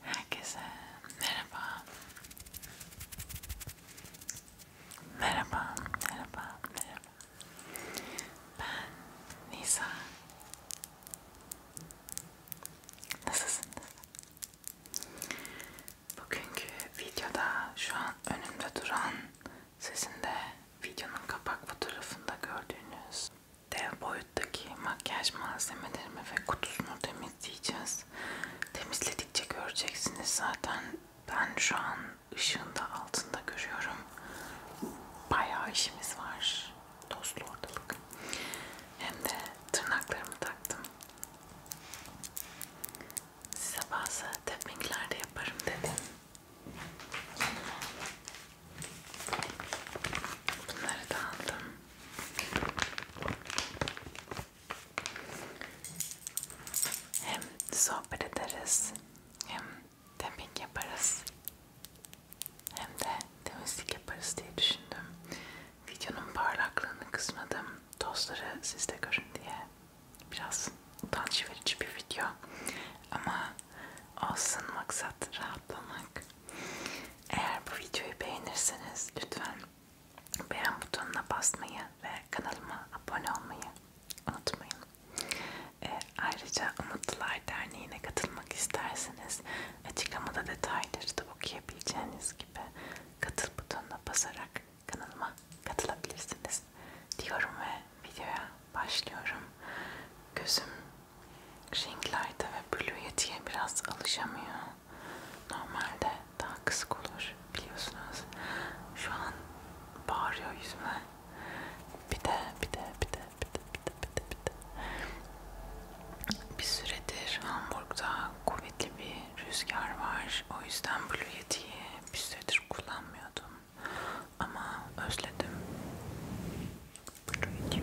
Herkese merhaba. Merhaba, merhaba, merhaba. Ben Nisa. Nasılsınız? Bugünkü videoda şu an önümde duran sizin de videonun kapak fotoğrafında gördüğünüz dev boyuttaki makyaj malzemelerimi ve kutusunu temizleyeceğiz. Temizledikçe göreceksiniz zaten. Ben şu an ışığında altında görüyorum. Bayağı işimiz var. Tozlu ortalık. Hem de tırnaklarımı taktım. Size bazı tappingler de yaparım dedim. Bunları da aldım. Hem sohbet ederiz, hem temizlik yaparız, hem de temizlik yaparız diye düşündüm. Videonun parlaklığını kısmadım, tozları sizde görün diye. Biraz utanç verici bir video ama olsun maksat rahatlamak. Eğer bu videoyu beğenirseniz lütfen beğen butonuna basmayı ve kanalıma abone olmayı unutmayın. E, ayrıca Umutlular Derneği'ne katılmak isterseniz açıklamada detayları da okuyabileceğiniz gibi katıl butonuna basarak kanalıma katılabilirsiniz diyorum ve videoya başlıyorum. Gözüm ringlerde ve blue yetiye biraz alışamıyor. Normalde daha kısık olur biliyorsunuz. Şu an bağırıyor yüzüme. Bir de bir de bir de bir de bir de bir de bir de. Bir süredir Hamburg'da kuvvetli bir rüzgar var. O yüzden Blue Yeti'yi bir süredir kullanmıyordum. Ama özledim. Blue Yeti'yi özledim.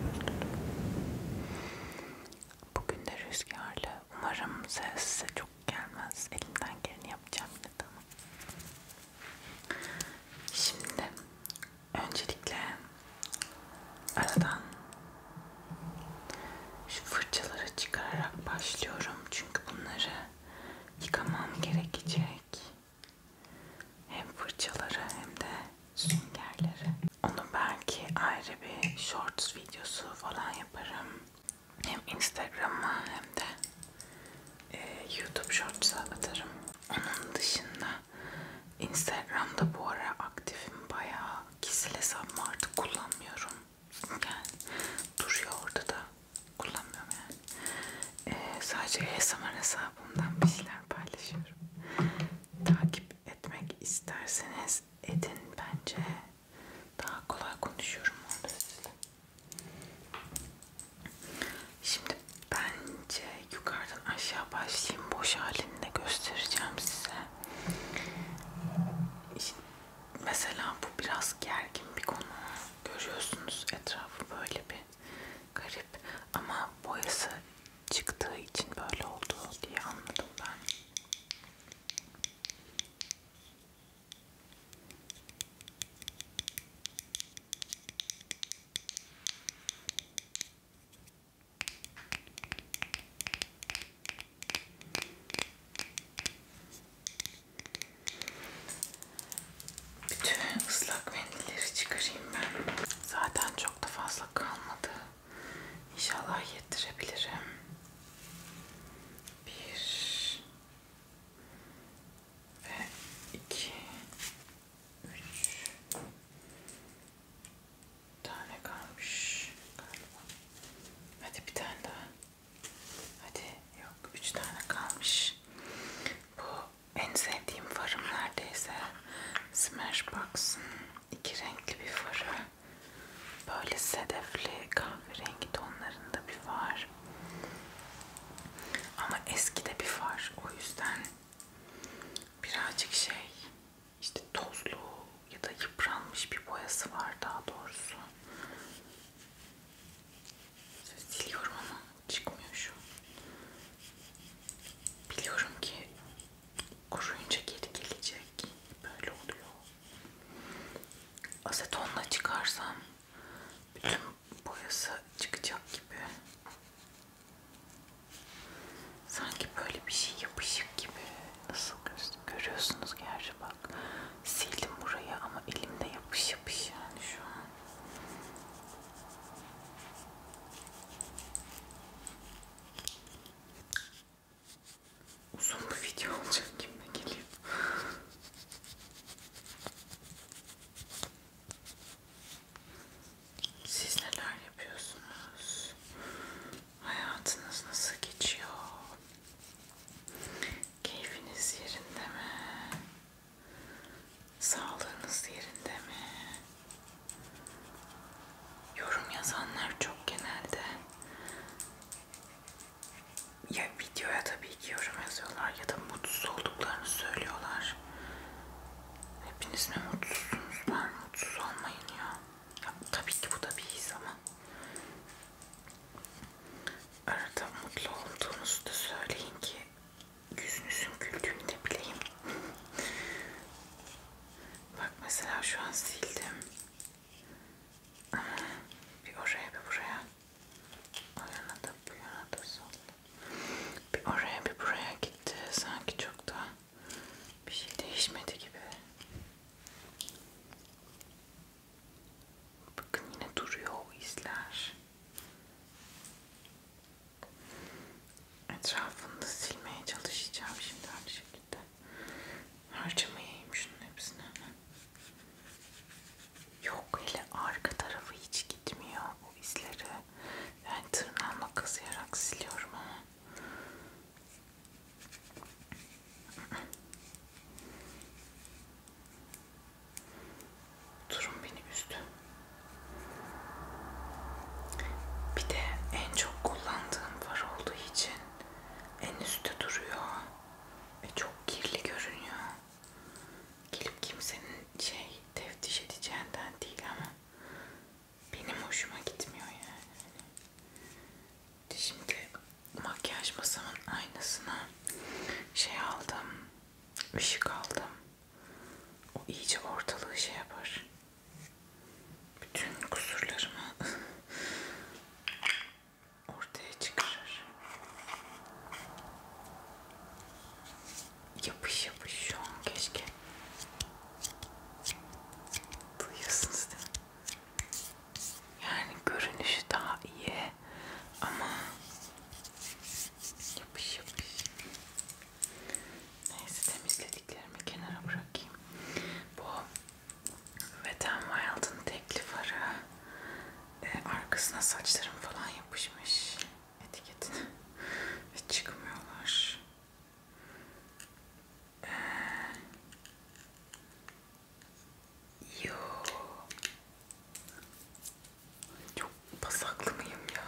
Bugün de rüzgarlı. Umarım ses size çok gelmez. Elimden geleni yapacağım yine de ama. Şimdi öncelikle aradan şu fırçaları çıkararak başlıyorum. Çünkü bunları yıkamam gerekecek. Hem fırçaları hem de süngerleri. Onun belki ayrı bir shorts videosu falan yaparım. Hem Instagram'a hem de e, YouTube shorts'a atarım. Onun dışında Instagram'da bu ara aktifim bayağı. Kişisel hesabımı artık kullanmıyorum. Yani duruyor orada da kullanmıyorum yani. E, sadece ASMR hesabımdan bir şeyler paylaşıyorum. Takip takip etmek isterseniz edin bence. Daha kolay konuşuyorum orada sizinle. Şimdi bence yukarıdan aşağı başlayayım. Boş halini de göstereceğim size. Şimdi mesela bu biraz gergin bir konu. Görüyorsunuz etrafı böyle bir garip ama boyası çıktığı için böyle oldu diye anladım ben. Bütün ıslak mendilleri çıkarayım ben. Zaten çok da fazla kalmadı. İnşallah yettirebilirim. Bir ve iki üç tane kalmış galiba. Hadi bir tane daha. Hadi yok üç tane kalmış. Bu en sevdiğim farım neredeyse Smashbox'ın iki renkli bir farı. Böyle sedefli kahverengi tonlarında bir far. Ama eski de bir far. O yüzden birazcık şey işte tozlu ya da yıpranmış bir boyası var daha doğrusu. Siliyorum ama çıkmıyor şu. Biliyorum ki kuruyunca geri gelecek. Böyle oluyor. Asetonla çıkarsam bütün boyası çıkacak gibi. Sanki böyle bir şey yapışık gibi. Nasıl görüyorsunuz gerçi şey? bak. Sildim burayı ama elimde yapış yapış yani şu an. Uzun bir video olacak kimle geliyor. Siz neler yapıyorsunuz? Hayatınız nasıl geçiyor? Keyfiniz yerinde mi? Sağlığınız yerinde mi? yorum yazanlar çok genelde ya videoya tabii ki yorum yazıyorlar ya da mutsuz olduklarını söylüyorlar. Hepiniz mi mutsuzsunuz? Ben mutsuz olmayın ya. ya tabii ki bu da bir his ama. Arada mutlu olduğunuzu da söyleyin ki yüzünüzün güldüğünü de bileyim. Bak mesela şu an sildim. Bir oraya bir buraya. O yana da bu yana da sol. Bir oraya bir buraya gitti. Sanki çok da bir şey değişmedi gibi. Bakın yine duruyor o izler. Etrafını silmeye çalışacağım şimdi aynı şekilde. Harcamayayım şunun hepsini hemen. Yok hele arka tarafı hiç gitmiyor bu izleri. Ben yani tırnağımla kazıyarak siliyorum ama. Durum beni üzdü. Bir de en çok kullandığım far olduğu için en üstte duruyor ve çok kirli görünüyor. Gelip kimsenin şey teftiş edeceğinden değil ama benim hoşuma gitmiyor yani. Şimdi makyaj masamın aynasına şey aldım, ışık aldım. O iyice ortalığı şey yapar bütün kusurlarımı ortaya çıkarır. Yapış yapış şu an keşke. Duyuyorsunuz değil mi? Yani görünüşü daha iyi ama yapış yapış. Neyse temizlediklerimi kenara bırakayım. Bu ve Tom Wild'ın tekli farı e, arkasına saçlarım falan yapışmış etiketine ve çıkmıyorlar. E, yo çok pasaklı mıyım ya?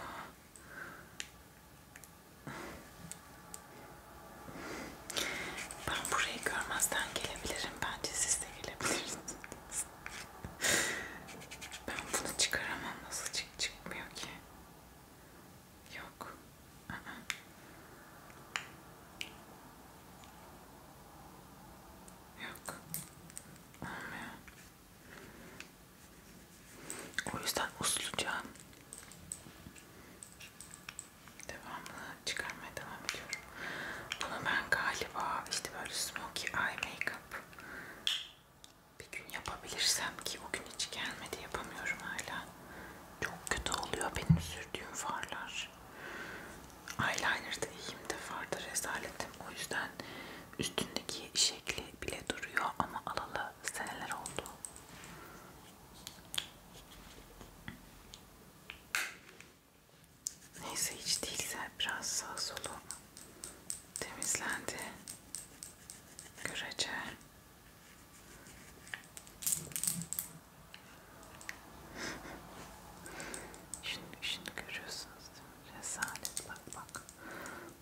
Ben burayı görmezden gelebilirim. Bence siz de gelebilirsiniz. ben bunu çıkaramam. Nasıl çık çıkmıyor ki? Yok. Aa. Yok. Olmuyor. O yüzden usluca devamlı çıkarmaya devam ediyorum. Bunu ben galiba işte böyle smokey eye makeup bir gün yapabilirsem ki o gün hiç gelmedi yapamıyorum hala. Çok kötü oluyor benim sürdüğüm farlar. Eyeliner'da iyiyimde farda rezaletim. O yüzden üstündeki şekli bile duruyor ama alalı seneler oldu. Neyse hiç değilse biraz sağ solu temizlendi. Görece. Şimdi, şimdi görüyorsunuz değil mi? Rezalet bak bak.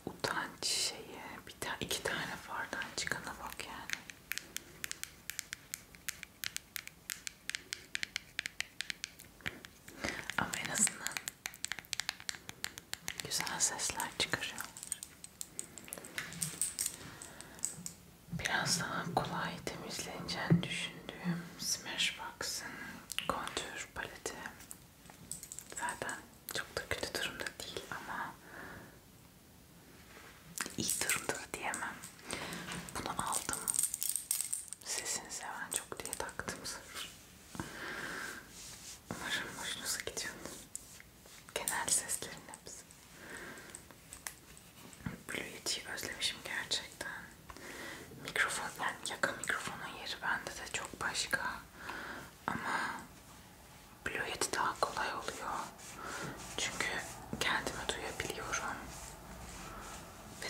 Utanç şeye bir tane iki tane fardan çıkana bak yani. Ama en azından güzel sesler çıkarıyor. Biraz daha kolay temizleneceğini düşündüğüm Smashbox'ın kontür paleti zaten çok da kötü durumda değil ama iyi durumda da diyemem. Bunu aldım. Sesini seven çok diye taktım sırf. Umarım hoşunuza gidiyordur. Genel seslerin hepsi. Blue Yeti'yi özlemişim gerçekten. Mikrofon, yani yaka mikrofonun yeri bende de çok başka. Ama Blue Yeti daha kolay oluyor. Çünkü kendimi duyabiliyorum. Ve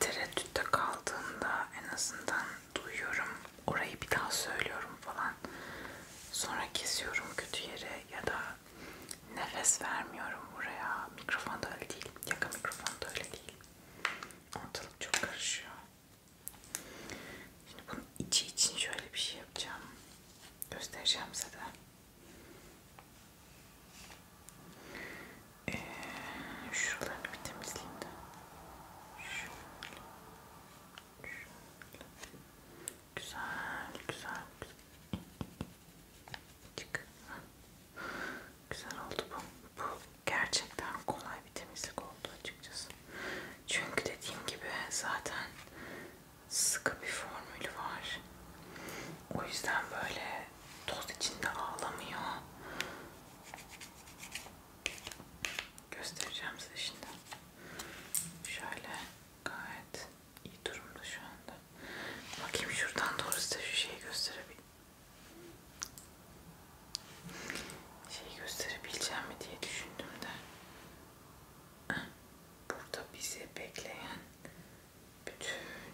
tereddütte kaldığımda en azından duyuyorum. Orayı bir daha söylüyorum falan. Sonra kesiyorum kötü yere ya da nefes vermiyorum buraya. Mikrofon da öyle değil. Yaka mikrofon da öyle değil. Ortalık çok karışıyor. Şimdi bunun içi için şöyle bir şey yapacağım. Göstereceğim size de. Ee, şuralarını bir temizleyeyim de. Şöyle. Şöyle. Güzel, güzel, güzel. Çık. Güzel oldu bu. Bu gerçekten kolay bir temizlik oldu açıkçası. Çünkü dediğim gibi zaten sıkı bir formülü var. O yüzden böyle toz içinde ağlamıyor. Göstereceğim size şimdi. Şöyle gayet iyi durumda şu anda. Bakayım şuradan doğru size şu şeyi gösterebilirim. Şeyi gösterebileceğim mi diye düşündüm de. Burada bizi bekleyen bütün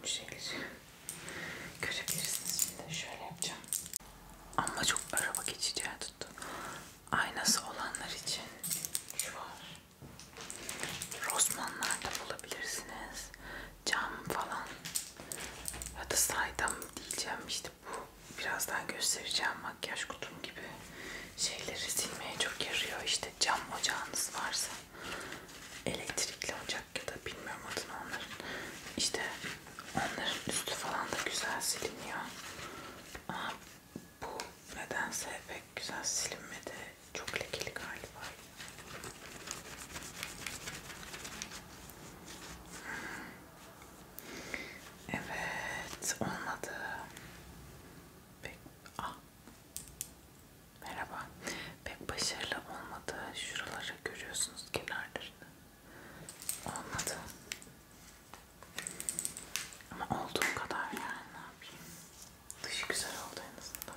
şeyleri görebilirsiniz. Şimdi şöyle yapacağım. Ama çok araba geçici tuttu. Aynası olanlar için şu var. Rosmanlarda bulabilirsiniz. Cam falan. Ya da saydam diyeceğim işte bu. Birazdan göstereceğim makyaj kutum gibi şeyleri silmeye çok yarıyor. İşte cam ocağınız varsa elektrikli ocak ya da bilmiyorum adını onların. İşte onların üstü falan da güzel siliniyor. Ama bu nedense pek güzel silinmedi. Çok lekeli galiba. Evet, olmadı. Peki. Ah. Merhaba. Pek başarılı olmadı. Şuraları görüyorsunuz kenarlarını. Olmadı. Ama olduğum kadar yani ne yapayım. Dışı güzel oldu en azından.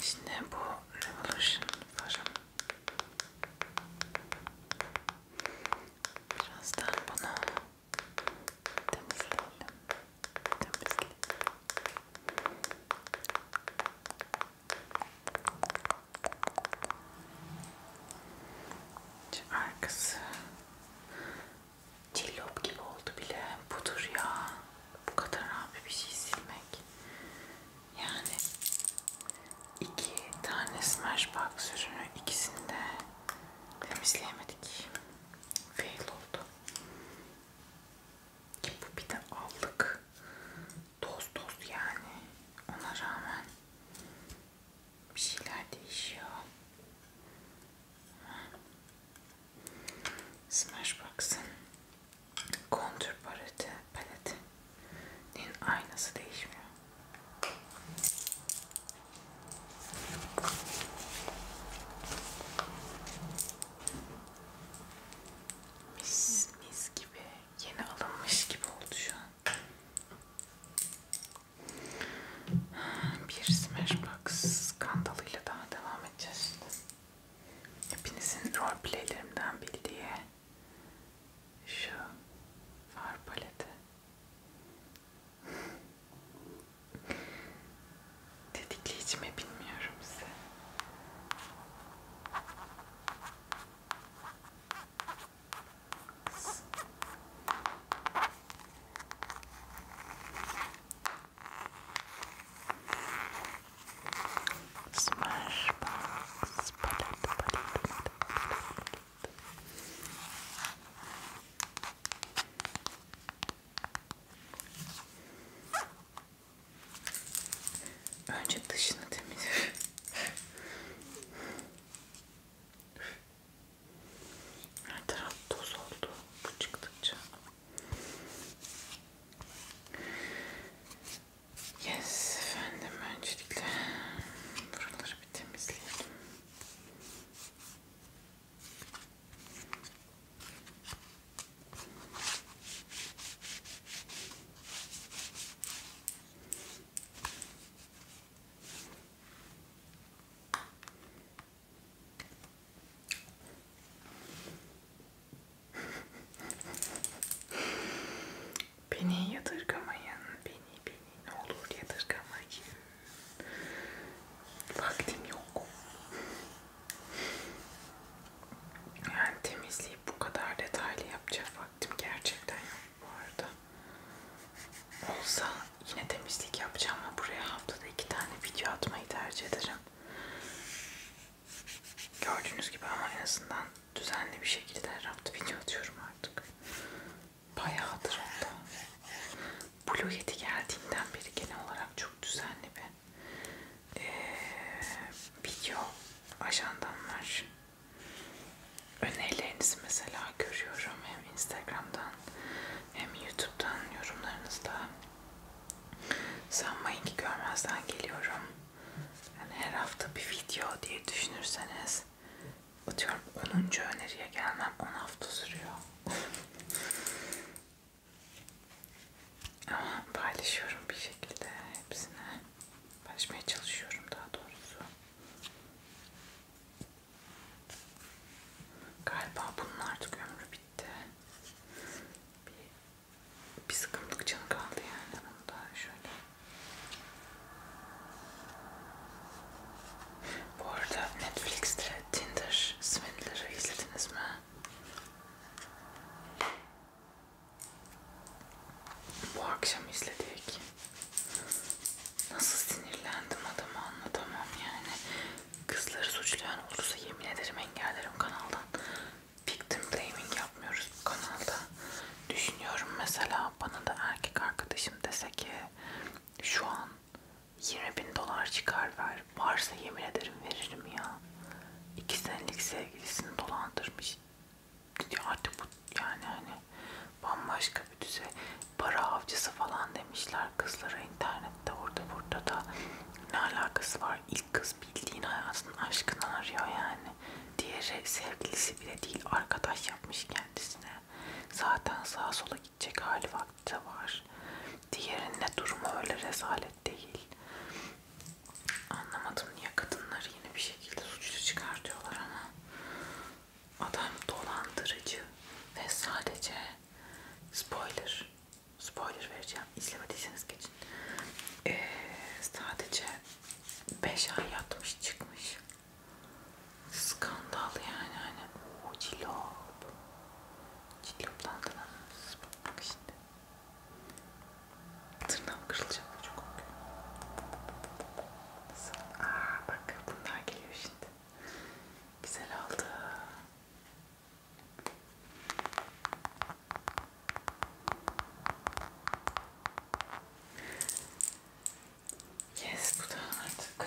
Şimdi bu Revolution farım Birazdan bunu temizleyelim. Temizleyelim. Şu arkası cillop gibi oldu bile. Budur ya. Bu kadar abi bir şey silmek. Yani iki tane Smashbox ürünü ikisini de temizleyemedik. Fail oldu. Ki bu bir de aldık. Toz toz yani. Ona rağmen bir şeyler değişiyor. Smashbox'ın kontür paleti, paletinin aynası değişmiyor. Mis mis gibi yeni alınmış gibi oldu şu an. Bir Smashbox skandalıyla daha devam edeceğiz şimdi. Hepinizin rol playlerimden bildiği şu far paleti. Dedikleyici mi bilmiyorum size. Smashbox palet palet palet palet Önce dışını temizle. Her taraf toz oldu bu çıktıkça. Yes efendim öncelikle buraları bir temizleyelim. Beni yadırgamayın. Beni, beni ne olur yadırgamayın. Vaktim yok. Yani temizliği bu kadar detaylı yapacak vaktim gerçekten yok bu arada. Olsa yine temizlik yapacağım ama buraya haftada iki tane video atmayı tercih ederim. Gördüğünüz gibi ama en azından düzenli bir şekilde her hafta video atıyorum artık. Bayağıdır hatta. Blue Yeti geldiğinden beri genel olarak çok düzenli bir ee, video ajandam var. Önerilerinizi mesela görüyorum hem Instagram'dan hem YouTube'dan yorumlarınızda. Sanmayın ki görmezden geliyorum yani her hafta bir video diye düşünürseniz atıyorum 10. öneriye gelmem 10 hafta sürüyor. Ama paylaşıyorum bir şekilde hepsine. Paylaşmaya çalışıyorum daha doğrusu. Galiba bunun artık ömrü bitti. Bir, bir sıkıntı canı kaldı yani. Bunu da şöyle bu arada Netflix'te Tinder Swindler'ı izlediniz mi? Bu akşam izledik. Nasıl sinirlendim adamı anlatamam yani. Kızları suçlayan olursa yemin ederim engellerim kanaldan. Victim blaming yapmıyoruz bu kanalda düşünüyorum mesela bana da erkek arkadaşım dese ki şu an 20 bin dolar çıkar ver varsa yemin ederim veririm ya iki senelik sevgilisini dolandırmış ya artık bu yani hani bambaşka bir düzey para avcısı falan demişler kızlara internette orada burada da ne alakası var ilk kız bildiğin hayatının aşkını arıyor yani Diğeri sevgilisi bile değil arkadaş yapmış kendisine. Zaten sağa sola gidecek hali vakti var. Diğerinde durumu öyle rezalet değil. Anlamadım niye kadınları yine bir şekilde suçlu çıkartıyorlar ama adam dolandırıcı ve sadece spoiler spoiler vereceğim izlemediyseniz geçin ee, sadece 5 ay yatmış çıkmış. Skandal yani hani. O cilop. Ciloptan da bak şimdi. Tırnağım kırılacak çok korkuyorum. Nasıl? Aa, bak bunlar geliyor şimdi. Güzel oldu. Yes bu da artık.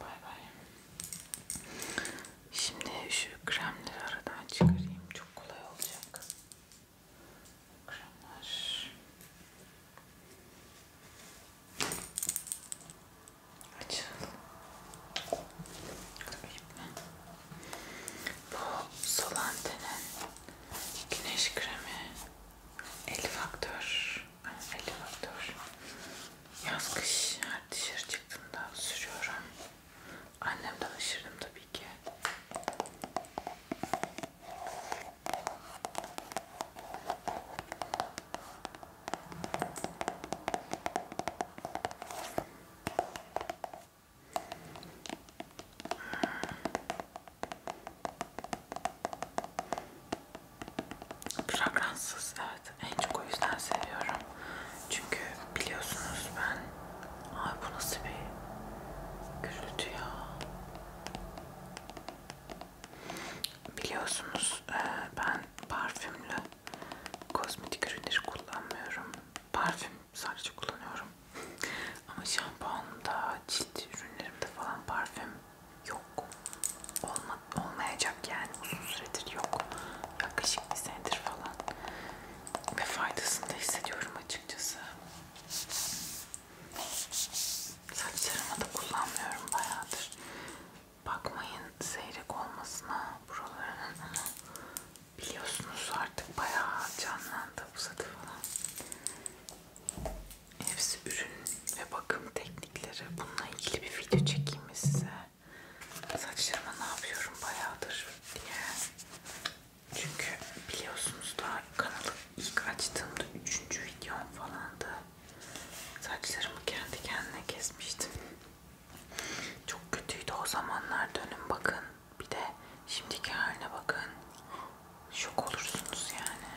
Bay bay. Şimdi şu kremleri aradan çıkarayım. Çok kolay olacak. Kremler. Açıl. Bu Solante'nin güneş kremi 50 faktör. Yani 50 faktör. Yaz kış her dışarı çıktığımda sürüyorum. Annemden aşırdım tabii ki. Fragransız evet. En çok o yüzden seviyorum. Çünkü biliyorsunuz ben ay bu nasıl bir gürültü ya. Biliyorsunuz e, ben parfümlü kozmetik ürünleri kullanmıyorum. Parfüm sadece kullanıyorum. Ama şampuanımda, cilt ürünlerimde falan parfüm yok. Olma, olmayacak yani uzun süredir yok. Yaklaşık bir senedir falan. Ve faydasını da hissediyorum açıkçası. Saçlarıma da kullanmıyorum bayağıdır. Bakmayın seyrek olmasına buralarının ama biliyorsunuz artık bayağı canlandı bu satı falan. Hepsi ürün ve bakım teknikleri. Bununla ilgili bir video çekeyim mi size? Saçlarıma ne yapıyorum bayağıdır diye. Çünkü biliyorsunuz daha kanalı ilk açtığımda üçüncü videom falandı. Saçlarımı kendi kendine kesmiştim. Çok kötüydü o zamanlar dönün bakın. Bir de şimdiki haline bakın şok olursunuz yani.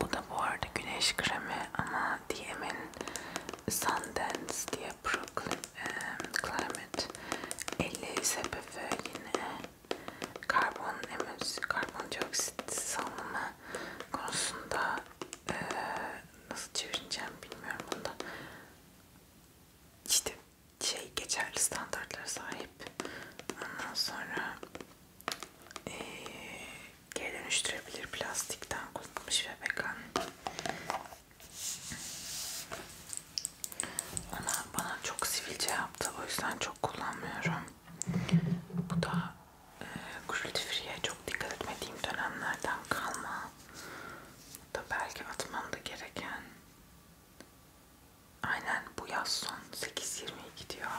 Bu da bu arada güneş kremi ama DM'in Sundance diye Brooklyn um, Climate 50 SPF yine karbon emüs, karbondioksit salınımı konusunda e, nasıl çevireceğim bilmiyorum bunda. İşte şey geçerli standartlara sahip. Ondan sonra e, geri dönüştürebilir plastikten kullanılmış ve vegan. Ama bana çok sivilce yaptı. O yüzden çok kullanmıyorum. Bu da e, cruelty free'ye çok dikkat etmediğim dönemlerden kalma. Bu da belki atmam da gereken aynen bu yaz son 8.20 gidiyor.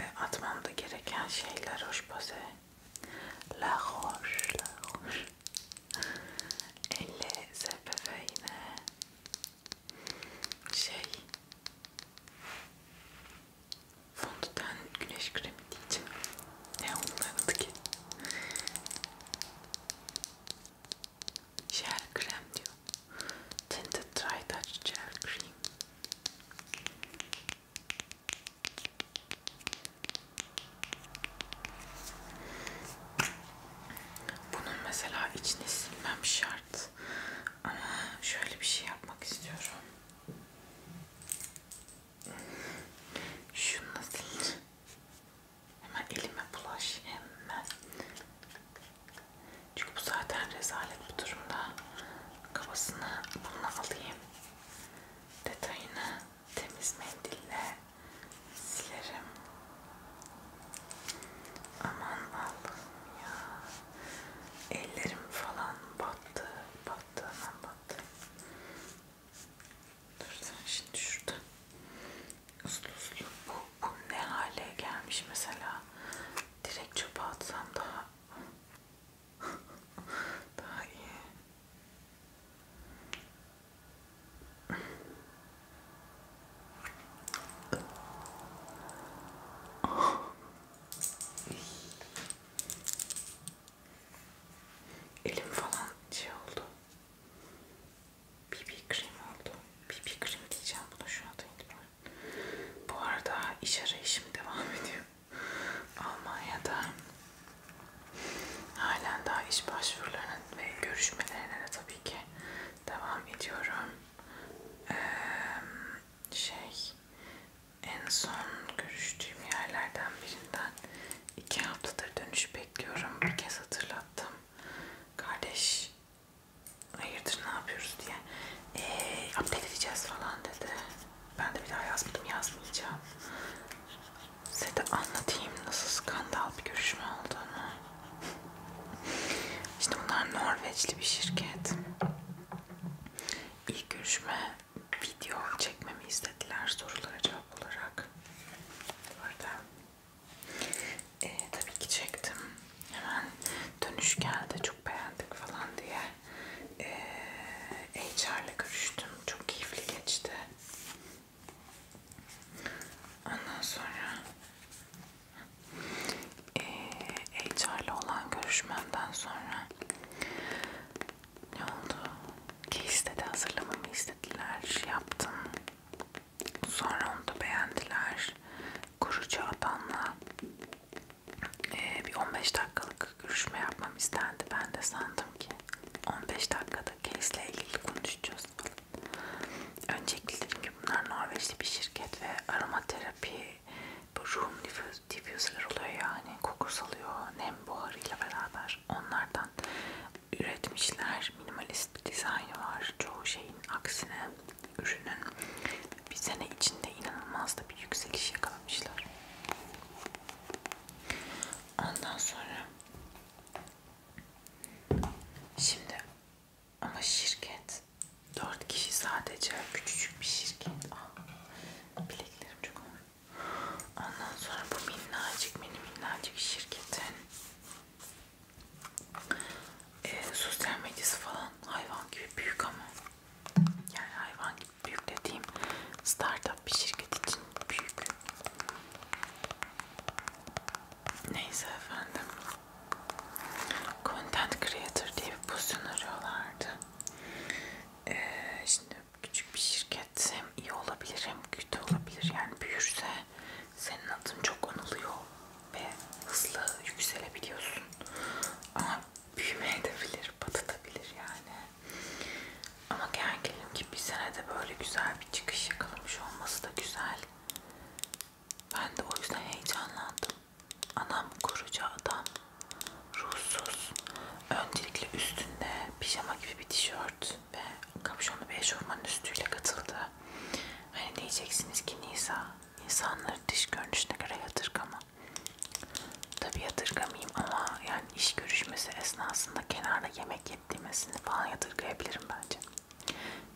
E, atmam da gereken şeyler hoş pase. La hoş, la hoş. Elle ZPF yine şey fondöten güneş kremi diyeceğim. Ne onların adı ki? Gel krem diyor. Tinted Dry Touch Gel Cream. Bunun mesela içini silmem şart. Ama şöyle bir şey yapmak istiyorum. Şunu sileceğim. Hemen elime bulaş hemen. Çünkü bu zaten rezalet bu durumda. Kafasını bununla alayım. Detayını temiz mendille silerim. Aman Allah'ım ya. Ellerim falan battı. Battı aman battı. Dur sen şimdi şurada uslu uslu bu, bu ne hale gelmiş mesela direkt çöpe atsam daha daha iyi Elim falan şey oldu. BB krem oldu. BB krem diyeceğim buna şu anda itibaren. Bu arada iş arayışım devam ediyor. Almanya'da halen daha iş başvurularının ve görüşmelerine de tabii ki devam ediyorum. Ee, şey en son görüştüğüm yerlerden birinden iki haftadır dönüş bekliyorum. Bir kez hatırlattım. Kardeş hayırdır ne yapıyoruz diye ee, update edeceğiz falan dedi. Ben de bir daha yazmadım yazmayacağım. Size de anlatayım nasıl skandal bir görüşme olduğunu. işte bunlar Norveçli bir şirket. İlk görüşme video çekmemi istediler sorulara cevap olarak. Orada e, tabii ki çektim. Hemen dönüş geldi çok beğendik falan diye. E, HR'le görüştüm. Çok keyifli geçti. Ondan sonra e, HR'le olan görüşmemden sonra ne oldu? Case dedi hazırlamamı istediler. Şey yaptım. Sonra onu da beğendiler. Kuru Çağdan'la e, bir 15 dakikalık görüşme yapmam istendi. Ben de sandım ki 15 dakikada case'le ilgili konuşacağız falan. Öncelikle dedim ki bunlar Norveçli bir şirket ve aromaterapi bu room diffuser'lar oluyor yani koku salıyor nem buharıyla beraber onlardan üretmişler minimalist bir dizaynı var çoğu şeyin aksine ürünün bir sene içinde inanılmaz da bir yükseliş yakalamışlar. Ondan sonra şimdi ama şirket dört kişi sadece küçücük bir şirket. Aa, ah, bileklerim çok ağır. Ondan sonra bu minnacık mini minnacık şirketin e, sosyal medyası falan hayvan gibi büyük ama yani hayvan gibi büyük dediğim startup bir şirket için büyük. Neyse efendim. Content Creator diye bir pozisyon arıyorlardı. Ee, şimdi küçük bir şirket hem iyi olabilir hem kötü olabilir. Yani büyürse senin adın çok anılıyor ve hızlı yükselebiliyorsun. Ama büyümeye de bilir, batabilir yani. Ama gerginim ki bir senede böyle güzel bir çıkış yakalamış olması da güzel. Ben de o yüzden heyecanlandım. Anam koruca adam, ruhsuz. Öncelikle üstünde pijama gibi bir tişört ve kapşonlu bir eşofmanın üstüyle katıldı. Hani diyeceksiniz ki Nisa insanları dış görünüşüne göre yatırgama. Tabi yatırgamayayım ama yani iş görüşmesi esnasında kenarda yemek yediğimesini falan yatırgayabilirim bence.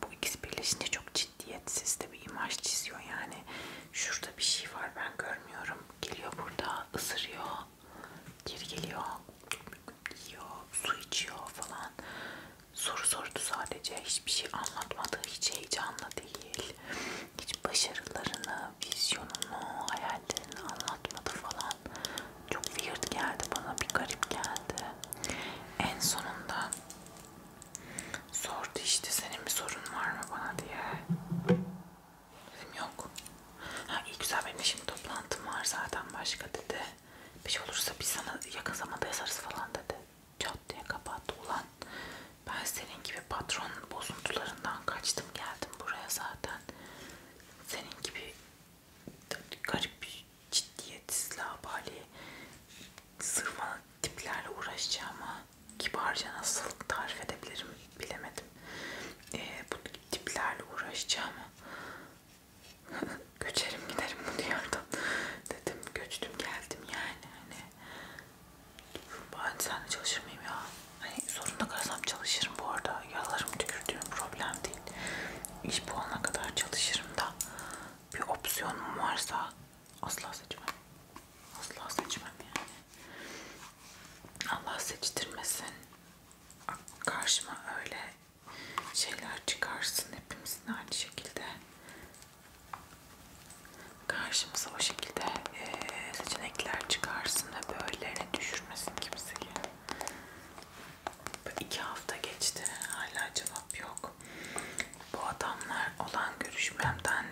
Bu ikisi birleşince çok ciddiyetsiz de bir imaj çiziyor yani. Şurada bir şey var ben görmüyorum. Geliyor burada ısırıyor. Geri geliyor. Yiyor, su içiyor falan soru sordu sadece. Hiçbir şey anlatmadı. Hiç heyecanlı değil. Hiç başarılarını, vizyonunu, hayallerini anlatmadı falan. Çok weird geldi bana. Bir garip geldi. En sonunda sordu işte senin bir sorun var mı bana diye. Dedim yok. Ha iyi güzel benim şimdi toplantım var zaten başka dedi. Bir şey olursa biz sana yakın zamanda yazarız falan dedi. Çat diye kapattı. Ulan ben senin gibi patron bozuntularından kaçtım geldim buraya zaten. Senin gibi garip ciddiyetsiz labali sırma tiplerle uğraşacağıma kibarca nasıl tarif edebilirim bilemedim. E, bu tiplerle uğraşacağıma göçerim giderim bu diyardan dedim göçtüm geldim yani hani ben seninle çalışır mıyım ya hani zorunda kalsam çalışırım bu arada yaralarım tükürdüğüm problem değil iş bulana kadar çalışırım da bir opsiyonum varsa asla seçmem asla seçmem yani Allah seçtirmesin karşıma öyle şeyler çıkarsın hepimizin aynı şekilde Karşımıza o şekilde e, seçenekler çıkarsın ve böylelerine düşürmesin kimseyi. İki hafta geçti hala cevap yok. Bu adamlar olan görüşmemden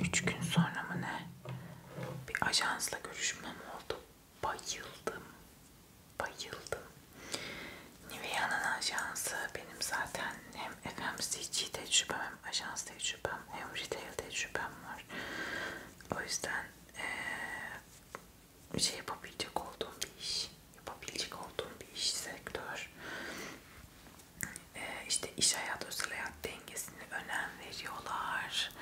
üç gün sonra mı ne bir ajansla görüşmem oldu. Bayıldım. Bayıldım. Nivea'nın ajansı benim zaten hem FMCG tecrübem hem ajans tecrübem hem retail tecrübem var. O yüzden ee, şey yapabilecek olduğum bir iş, yapabilecek olduğum bir iş sektör. E, işte iş hayat, özel hayat dengesine önem veriyorlar.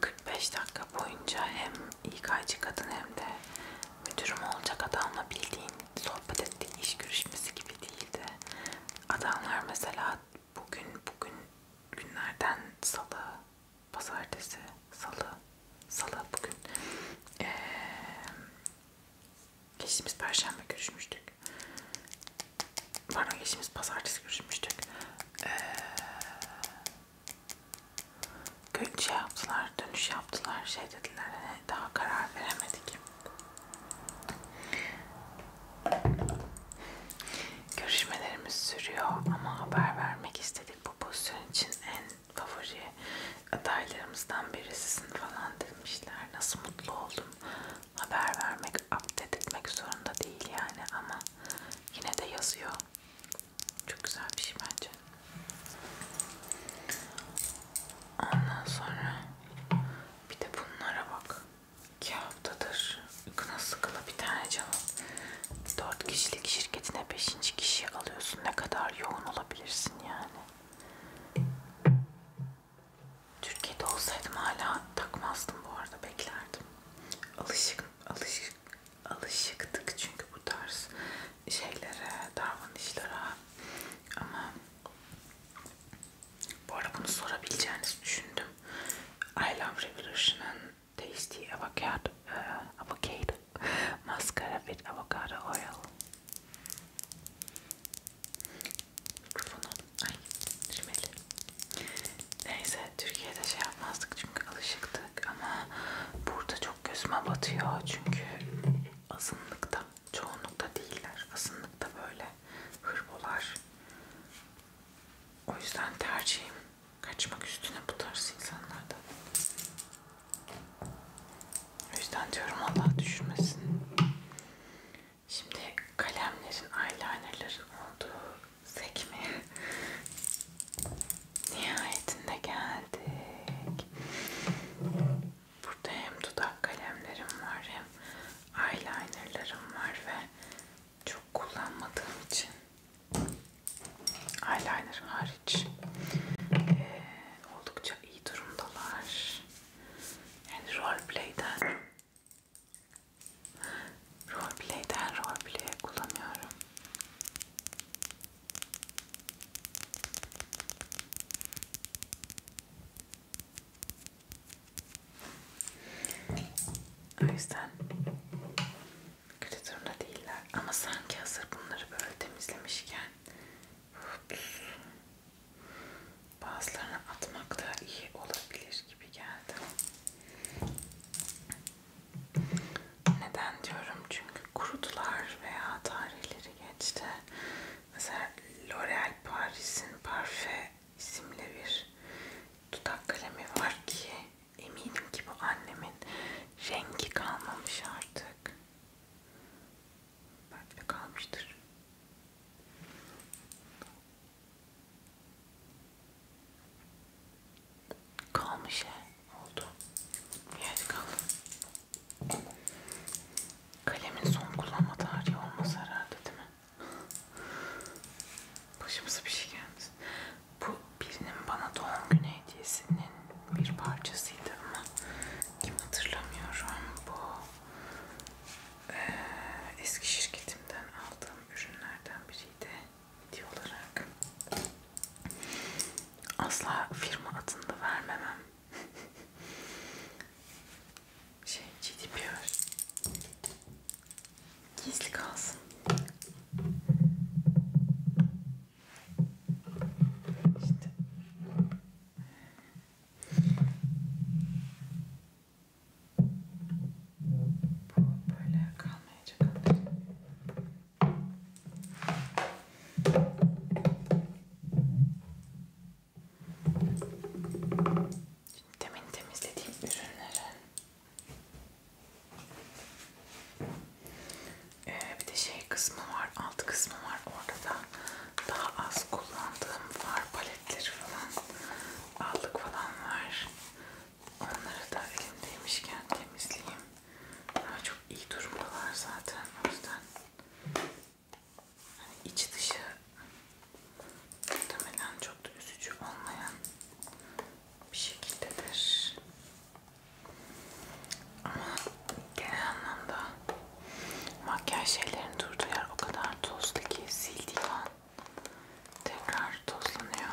45 dakika boyunca hem İK'cı kadın hem de müdürüm olacak adamla bildiğin sohbet ettiğin iş görüşmesi gibi değildi. Adamlar mesela bugün bugün günlerden salı, pazartesi, salı, salı bugün ee, geçtiğimiz perşembe görüşmüştük. Pardon geçtiğimiz pazartesi görüşmüştük. Ee, şey yaptılar, dönüş yaptılar şey dediler ee, daha karar veremedik görüşmelerimiz sürüyor ama haber vermek istedik bu pozisyon için en favori adaylarımızdan birisisin falan demişler nasıl mutlu oldum haber vermek update etmek zorunda değil yani ama yine de yazıyor çok güzel bir şey bence Ondan sonra bir de bunlara bak. İki haftadır kına sıkıla bir tane cevap. Dört kişilik şirketine beşinci kişi alıyorsun. Ne kadar yoğun olabilirsin yani. Türkiye'de olsaydım hala takmazdım bu arada beklerdim. Alışık, alışık, alışıktık çünkü bu tarz şeylere, davranışlara ama bu arada bunu sorabileceğinizi düşündüm. I Love Revolution'ın Tasty Avocado, uh, avocado Mascara with Avocado Oil. Mikrofonu, ay şimeli. Neyse Türkiye'de şey yapmazdık çünkü alışıktık ama burada çok gözüme batıyor çünkü azınlıkta çoğunlukta değiller. Azınlıkta böyle hırbolar. O yüzden tercihim kaçmak üstüne bu tarz insanlardan. O yüzden diyorum Allah düşürmesin. Şimdi kalemlerin, eyelinerlerin olduğu sekmeye nihayetinde geldik. Burada hem dudak kalemlerim var hem eyelinerlarım var ve çok kullanmadığım için eyeliner hariç ee, oldukça iyi durumdalar. Yani roleplay'den roleplay'den roleplay'e kullanıyorum. O yüzden kötü durumda değiller. Ama sanki hazır bunları böyle temizlemişken bazılarını atmak da iyi olabilir gibi geldi. Neden diyorum? Çünkü kurudular veya tarihleri geçti. Mesela L'Oreal Paris'in Parfait isimli bir dudak kalemi var ki eminim ki bu annemin rengi kalmamış artık. Belki de kalmıştır. Kalmış he. Oldu. Bir yerde kaldı. Kalemin son kullanma tarihi olmaz herhalde değil mi? Başımıza bir şey geldi. Bu birinin bana doğum günü hediyesinin bir parçasıydı ama kim hatırlamıyorum. Bu e, eski şirketimden aldığım ürünlerden biriydi hediye olarak. Asla firma adını da vermemem şey ciddi bir yer. Gizli kalsın. İşte. Bu böyle kalmayacak artık. Demin temizlediğim ürünleri ee, bir de şey kısmı var, alt kısmı var orada da daha az kullandığım var paletleri falan altlık falan var onları da elimdeymişken temizleyeyim daha çok iyi durumdalar zaten o yüzden hani iç dışı muhtemelen çok da üzücü olmayan bir şekildedir. Ama genel anlamda makyaj şeylerin durduğu yer o kadar tozlu ki sildiği an tekrar tozlanıyor.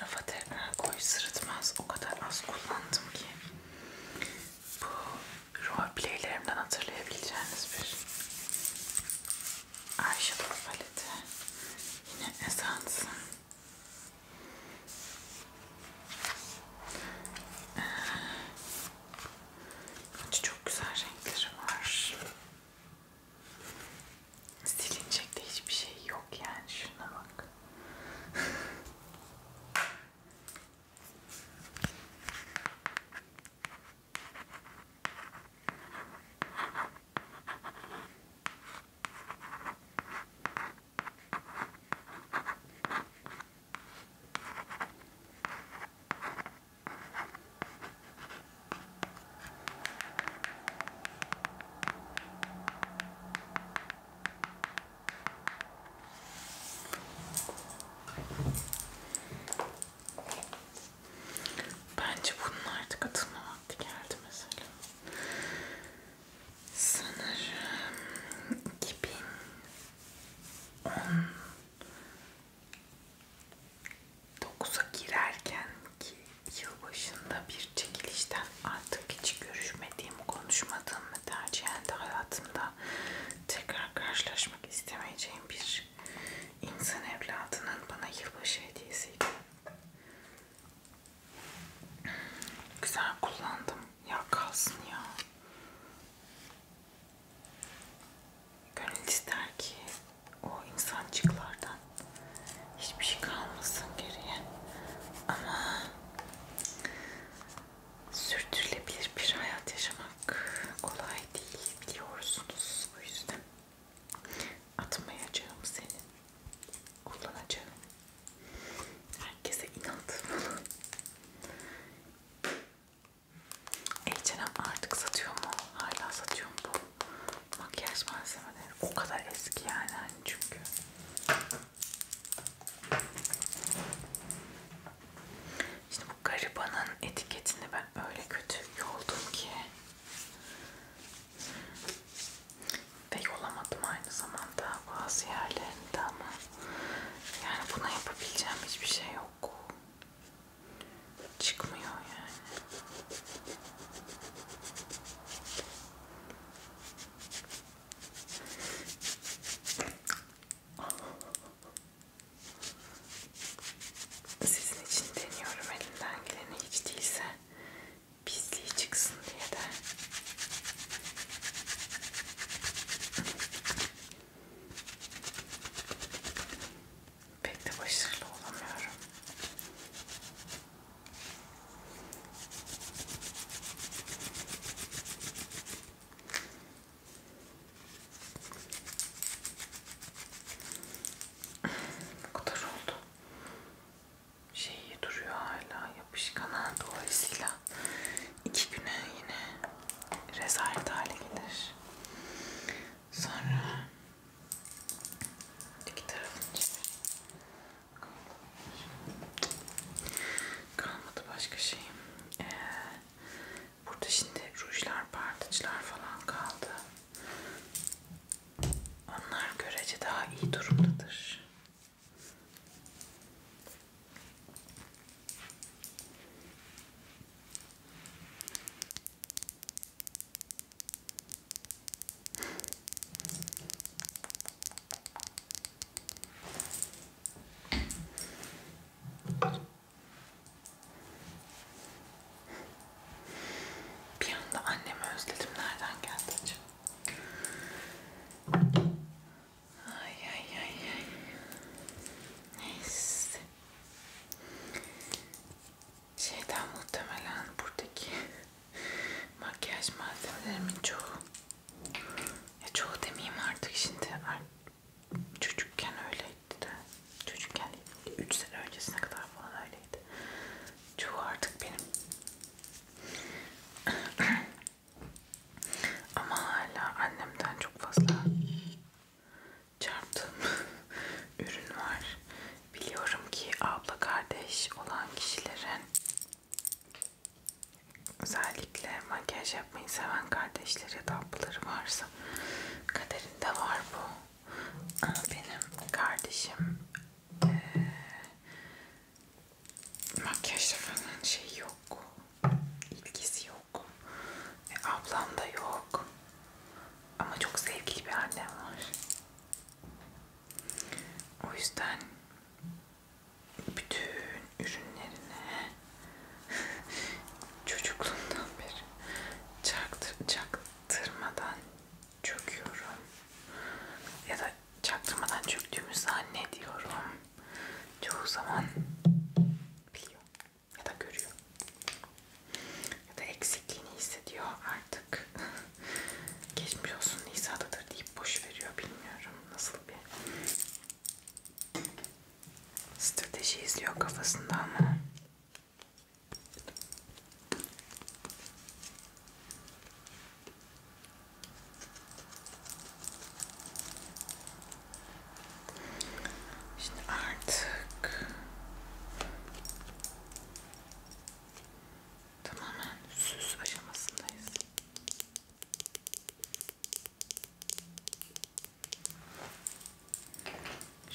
Rafa tekrar koy sırıtmaz. O kadar az kullandım ki. Bu roleplaylerimden hatırlayabileceğiniz bir eyeshadow paleti. Yine esansın. Bence çok güzel renkleri var. Silinecek de hiçbir şey yok yani şuna bak. Bence bunun artık atılma vakti geldi mesela. Sanırım 2000 9'a girerken ki yıl başında bir çekilişten artık hiç görüşmediğim, konuşmadığım ve tercihen de hayatımda tekrar karşılaşmak istemeyeceğim bir insan evladının bana yılbaşı hediyesiydi. Güzel kullandım. Ya kalsın ya. Gönül ister ki o insancıklardan hiçbir şey kalmasın geriye. Ama sürdürülebilir bir hayat yaşamak kolay değil biliyorsunuz. O yüzden atmayacağım seni. Kullanacağım. Herkese inandırmalı. H&M artık satıyor mu? Hala satıyor mu bu makyaj malzemeleri? O kadar eski yani hani çünkü. Şimdi bu garibanın etiketini ben öyle kötü yoldum ki ve yolamadım aynı zamanda bazı yerlerinde ama yani buna yapabileceğim hiçbir şey yok. Çıkmıyor yani. Sizin için deniyorum elimden geleni hiç değilse pisliği çıksın diye de Pek de başarılı olamıyorum. Bu kadar oldu. Şey duruyor hala yapışkan dolayısıyla iki güne yine rezalet hale gelir. Sonra iki tarafını çevir. Kalmadı başka şeyim. Ee, burada şimdi rujlar, partıçlar falan kaldı. Onlar görece daha iyi durumdadır. Bir anda annemi özledim. Nereden geldi acaba? Ay ay ay ay. Neyse. Şeyden muhtemelen buradaki makyaj malzemelerimin çoğu ya çoğu demeyeyim artık şimdi çocukken öyleydi de çocukken 3 sene öncesine kadar falan öyleydi çoğu artık benim Ama hala annemden çok fazla çarptığım ürün var. Biliyorum ki abla kardeş olan kişilerin özellikle makyaj yapmayı seven kardeşleri ya da ablaları varsa kaderinde var bu. Benim kardeşim e, makyajda falan şey yok ilgisi yok. E, ablam da yok. Ama çok sevgili bir annem var. O yüzden bütün ürünlerine çocukluğumdan beri çaktır, çaktırmadan çöküyorum. Ya da çaktırmadan çöktüğümü zannediyorum çoğu zaman biliyor ya da görüyor ya da eksikliğini hissediyor artık geçmiş olsun Nisa'dadır deyip boş veriyor bilmiyorum nasıl bir strateji izliyor kafasında ama Şimdi artık tamamen süs aşamasındayız.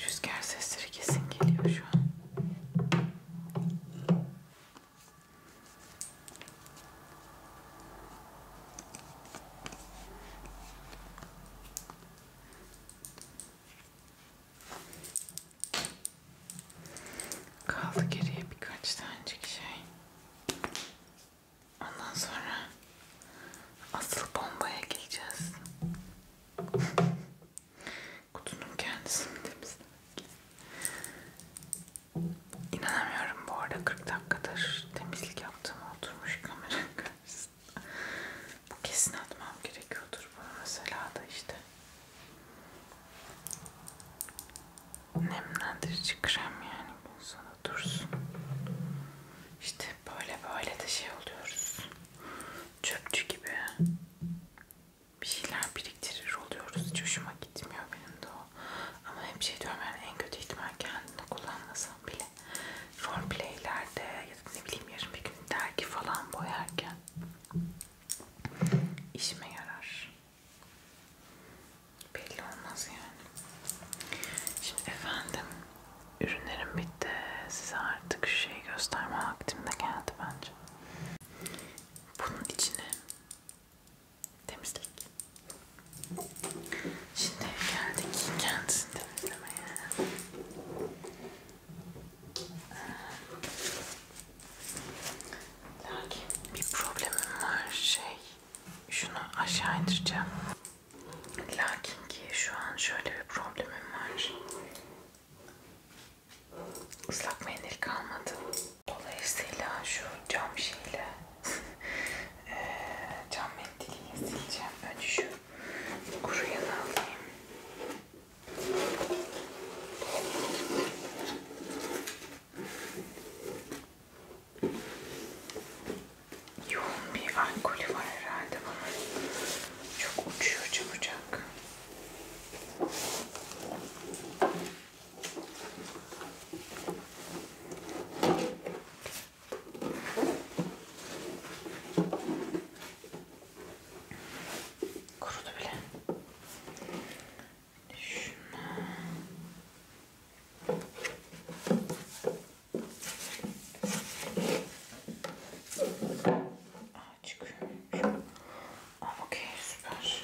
Rüzgar sesleri kesin geliyor şu an. Kaldı geriye birkaç tanecik şey. Ondan sonra asıl bombaya geleceğiz. Kutunun kendisini temizlemek. İnanamıyorum bu arada 40 dakikadır temizlik yaptığım oturmuş kameranın karşısında. Bu kesin atmam gerekiyordur bu mesela da işte. Nemlendirici krem yani gün sonu dursun. İşte böyle böyle de şey oluyoruz. Çöpçü gibi. Bir şeyler biriktirir oluyoruz. Hiç hoşuma gitmiyor benim de o. Ama hep şey diyorum yani en kötü ihtimal kendini kullanmasam bile roleplaylerde ya da ne bileyim yarın bir gün dergi falan boyarken işime yarar. Belli olmaz yani. Şimdi efendim ürünlerim bitti. Size artık şu şeyi gösterme vaktim de geldi bence. Bunun içine temizlik Şimdi geldik kendisini temizlemeye. Ee, lakin bir problemim var şey. Şunu aşağı indireceğim. Lakin ki şu an şöyle bir problemim var. Islak mendil kalmadı. Dolayısıyla şu cam şeyle e, cam mendiliyle sileceğim. Önce şu kuruyanı alayım. Yoğun bir alkolü var herhalde bunun. Çok uçuyor çabucak. Kurudu bile. Şuna. Açık. Okey süper.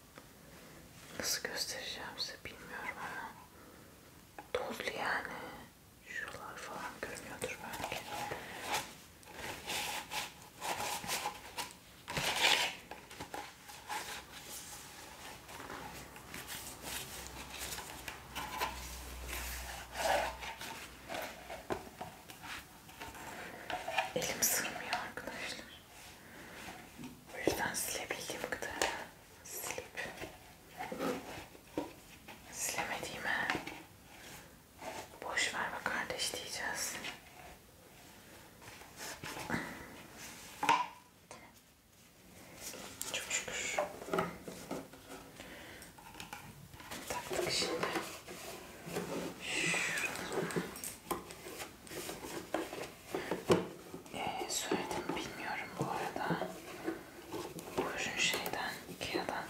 Nasıl göstereceğim size bilmiyorum ama tozlu yani. Şuralar falan görünüyordur belki. Elim sığmıyor arkadaşlar. O yüzden silebildiğim kadar silip silemediğime boş ver be kardeş diyeceğiz. Çok şükür. Taktık şimdi. Şuradan. Ee, soyadını bilmiyorum bu arada. Buyurun şeyden, Ikea'dan.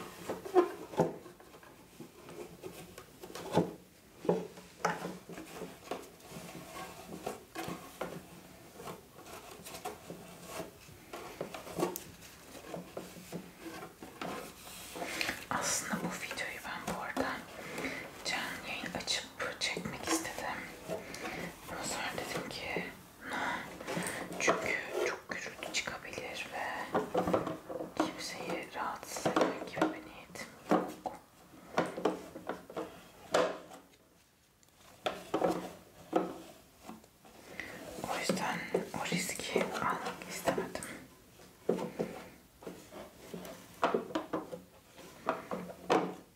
Aslında bu videoyu ben bu arada canlı yayın açıp çekmek istedim Sonra dedim ki no. Çünkü çok gürültü çıkabilir ve kimseyi rahatsız eden gibi bir niyetim yok. O yüzden o riski almak istemedim.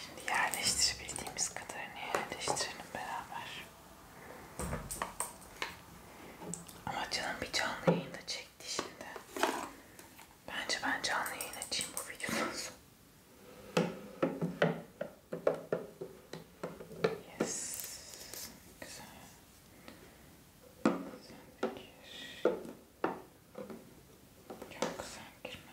Şimdi yerleştirebildiğimiz kadarını yerleştirelim beraber. Ama canım bir canlı yayında çekti şimdi. Bence ben canlı yayın açayım bu videodan sonra. Yes. Güzel. Sen gir. Yok sen girme.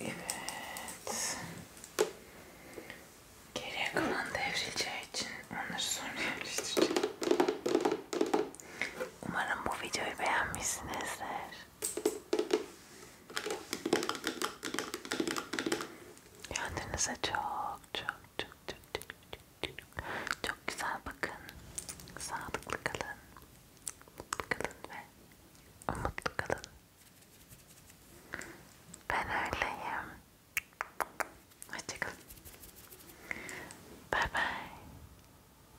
Evet. Geriye kalan devrileceği için onları sonra yerleştireceğim. Umarım bu videoyu beğenmişsinizdir. Kendinize çok çok çok çok çok çok çok, çok güzel bakın. Sağlıklı kalın. Mutlu kalın ve umutlu kalın. Ben öyleyim. Hoşçakalın. Bye bye.